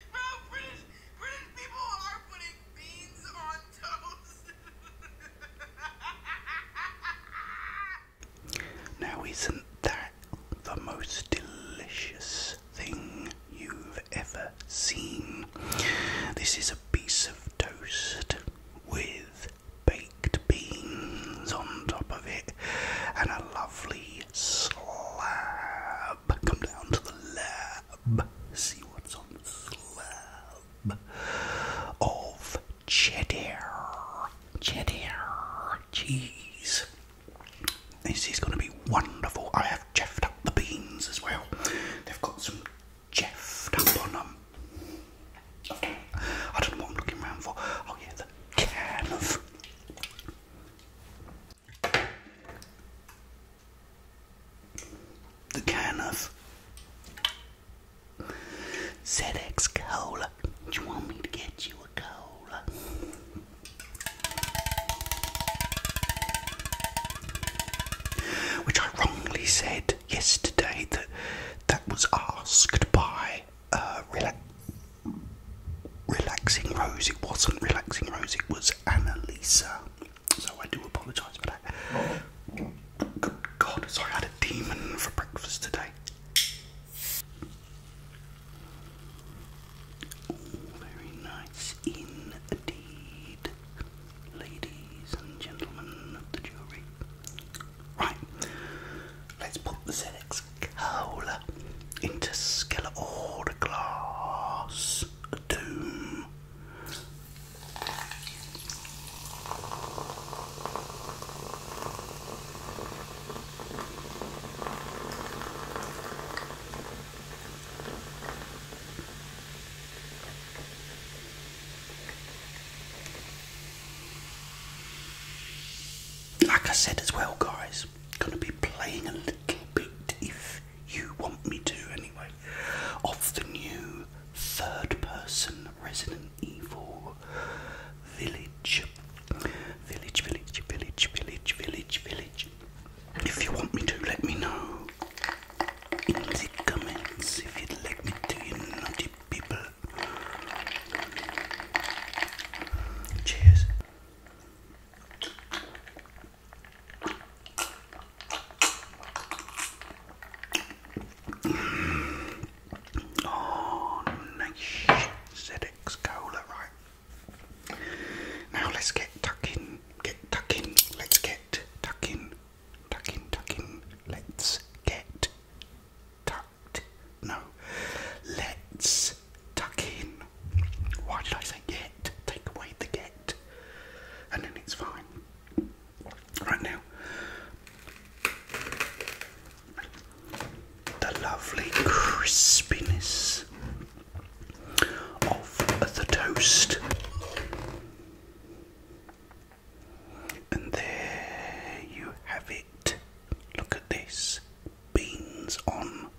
Now, isn't that the most delicious thing you've ever seen? This is a piece of toast with baked beans on top of it and a lovely slab Come down to the lab. See what's on the slab of cheddar, cheddar cheese. This is going to be wonderful. I have jeffed up the beans as well. They've got some jeffed up on them. I don't know what I'm looking around for. Oh yeah, the can of the kind of Zex Cola. Do you want me to get you a cola? Which I wrongly said yesterday that that was asked by uh, a. Relaxing Rose. It wasn't Relaxing Rose, it was Annalisa. So I do apologise for that. Good God, sorry, I had a demon for breakfast today. very nice indeed, ladies and gentlemen of the jury. Right, let's put the ZX Cola Interstellar Order Glass Doom. Like I said as well, guys, going to be playing a little bit, if you want me to anyway, of the new third person Resident Evil Village. Village, village, village, village, village, village. If you want me to, let me know in the comments if you'd like me to, you naughty people. Cheers. Oh, nice ZX Cola, right? Now let's get tucking, get tucking, let's get tucking, tucking, tucking, let's get tucked. No, let's tuck in. Why did I say get? Take away the get, and then it's fine. Right now, the lovely crispiness of the toast. And there you have it. Look at this beans on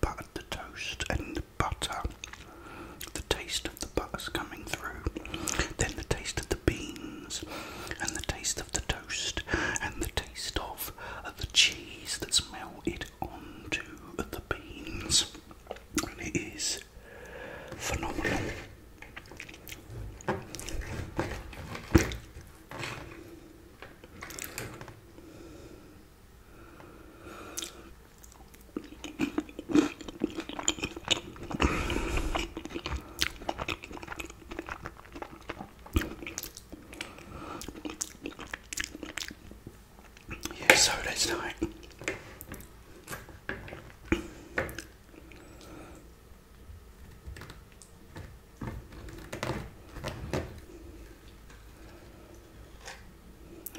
buttered the toast and the butter, the taste of the butter's coming through, then the taste of the beans, and the taste of the toast, and the taste of the cheese that's melted onto the beans. it is phenomenal. Yeah, so let's do it.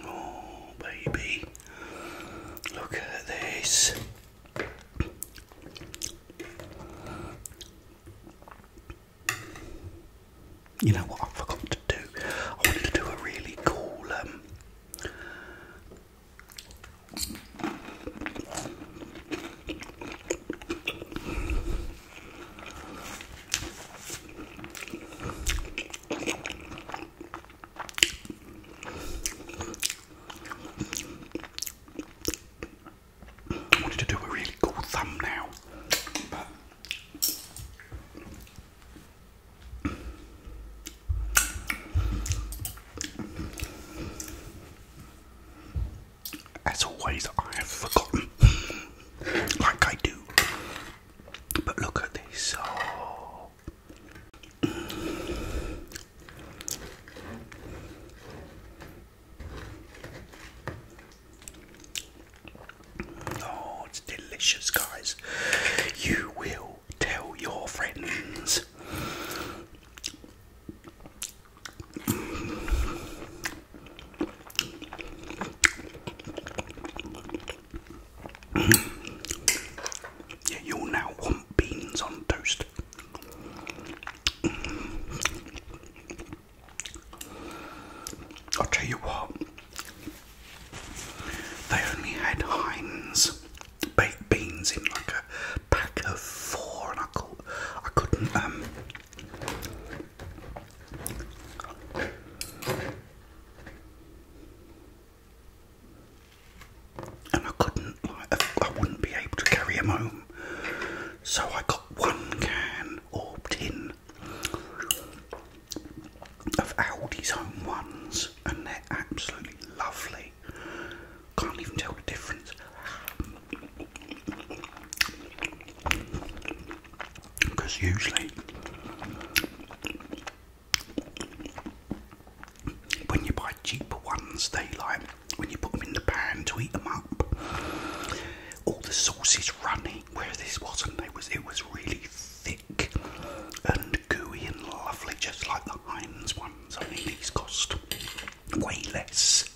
Oh, baby, look at this. You know what I forgot to do? I wanted to do a really cool um, I wanted to do a really cool thumbnail, but as always, I have forgotten like I do. But look at this. Oh. oh. it's delicious, guys. You will tell your friends yeah, you now want beans on toast. I'll tell you what, they only had Heinz baked beans in like a pack of four, and I, could, not um, and I couldn't, I wouldn't be able to carry them home. So I got one can or tin of Aldi's own ones, and they're absolutely lovely. Can't even tell the difference because usually when you buy cheaper ones, they like when you put them in the pan to eat them up, all the sauce is runny. Where this wasn't, it was it was really thick and gooey and lovely, just like the Heinz ones. I mean, these cost way less.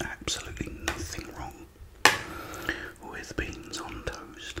Absolutely nothing wrong with beans on toast.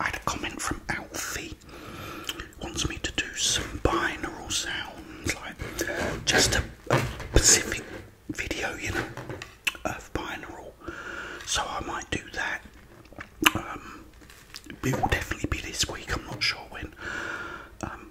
I had a comment from Alfie wants me to do some binaural sounds, like just a, specific video, you know, of binaural. So I might do that. Um, it will definitely be this week. I'm not sure when. Um,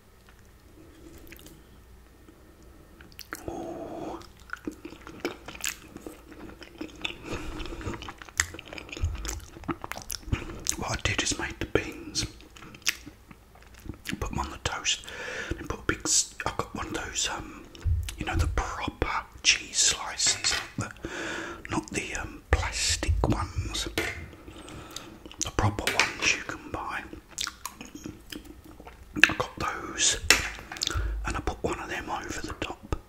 What I did is made the beans, put them on the toast, and put a big. I got one of those, um, you know, the proper cheese slices, not the, not the um, plastic ones, the proper ones you can buy. I got those and I put one of them over the top.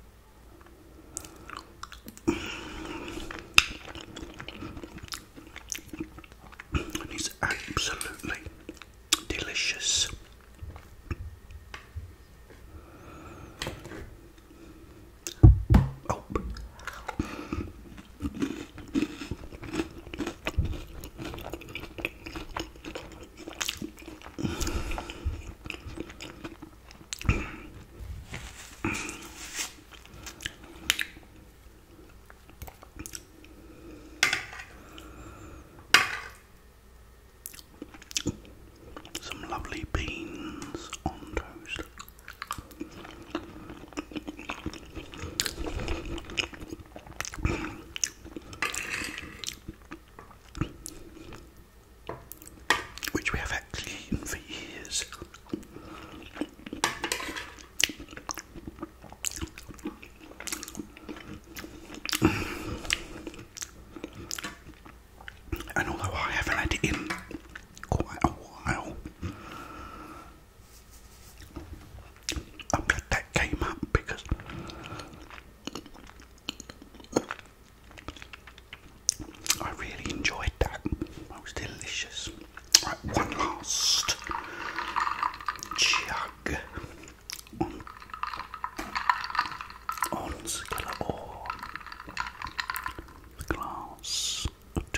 And it's absolutely delicious. Oh. Some lovely beans on toast which we have actually eaten for years. And although I haven't had it in quite a while, I'm glad that came up because I really enjoyed that. That was delicious. Right, one last chug on on the glass of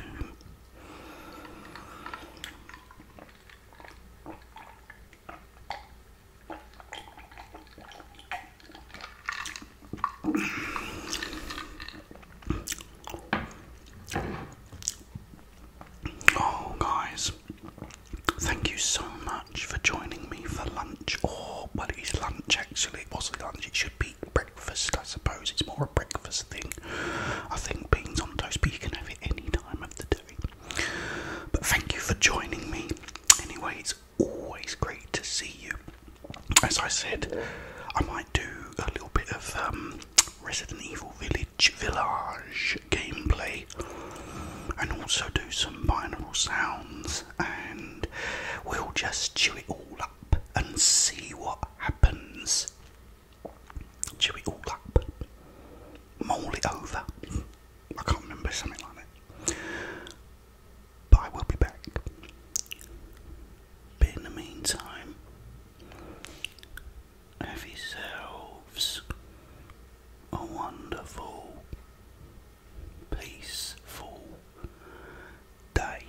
Oh, guys, thank you so much for joining me for lunch. Or, oh, well, it is lunch actually, it wasn't lunch, it should be breakfast, I suppose. It's more a breakfast thing. I think beans on toast, but you can have it any time of the day. But thank you for joining me. Anyway, it's always great to see you. As I said, I might do a little bit of um, Resident Evil Village Village gameplay and also do some binaural sounds and we'll just chew it all up and see what happens. Chew it all up. Mull it over. I can't remember something like that. But I will be back. But in the meantime, have yourselves a wonderful, peaceful day.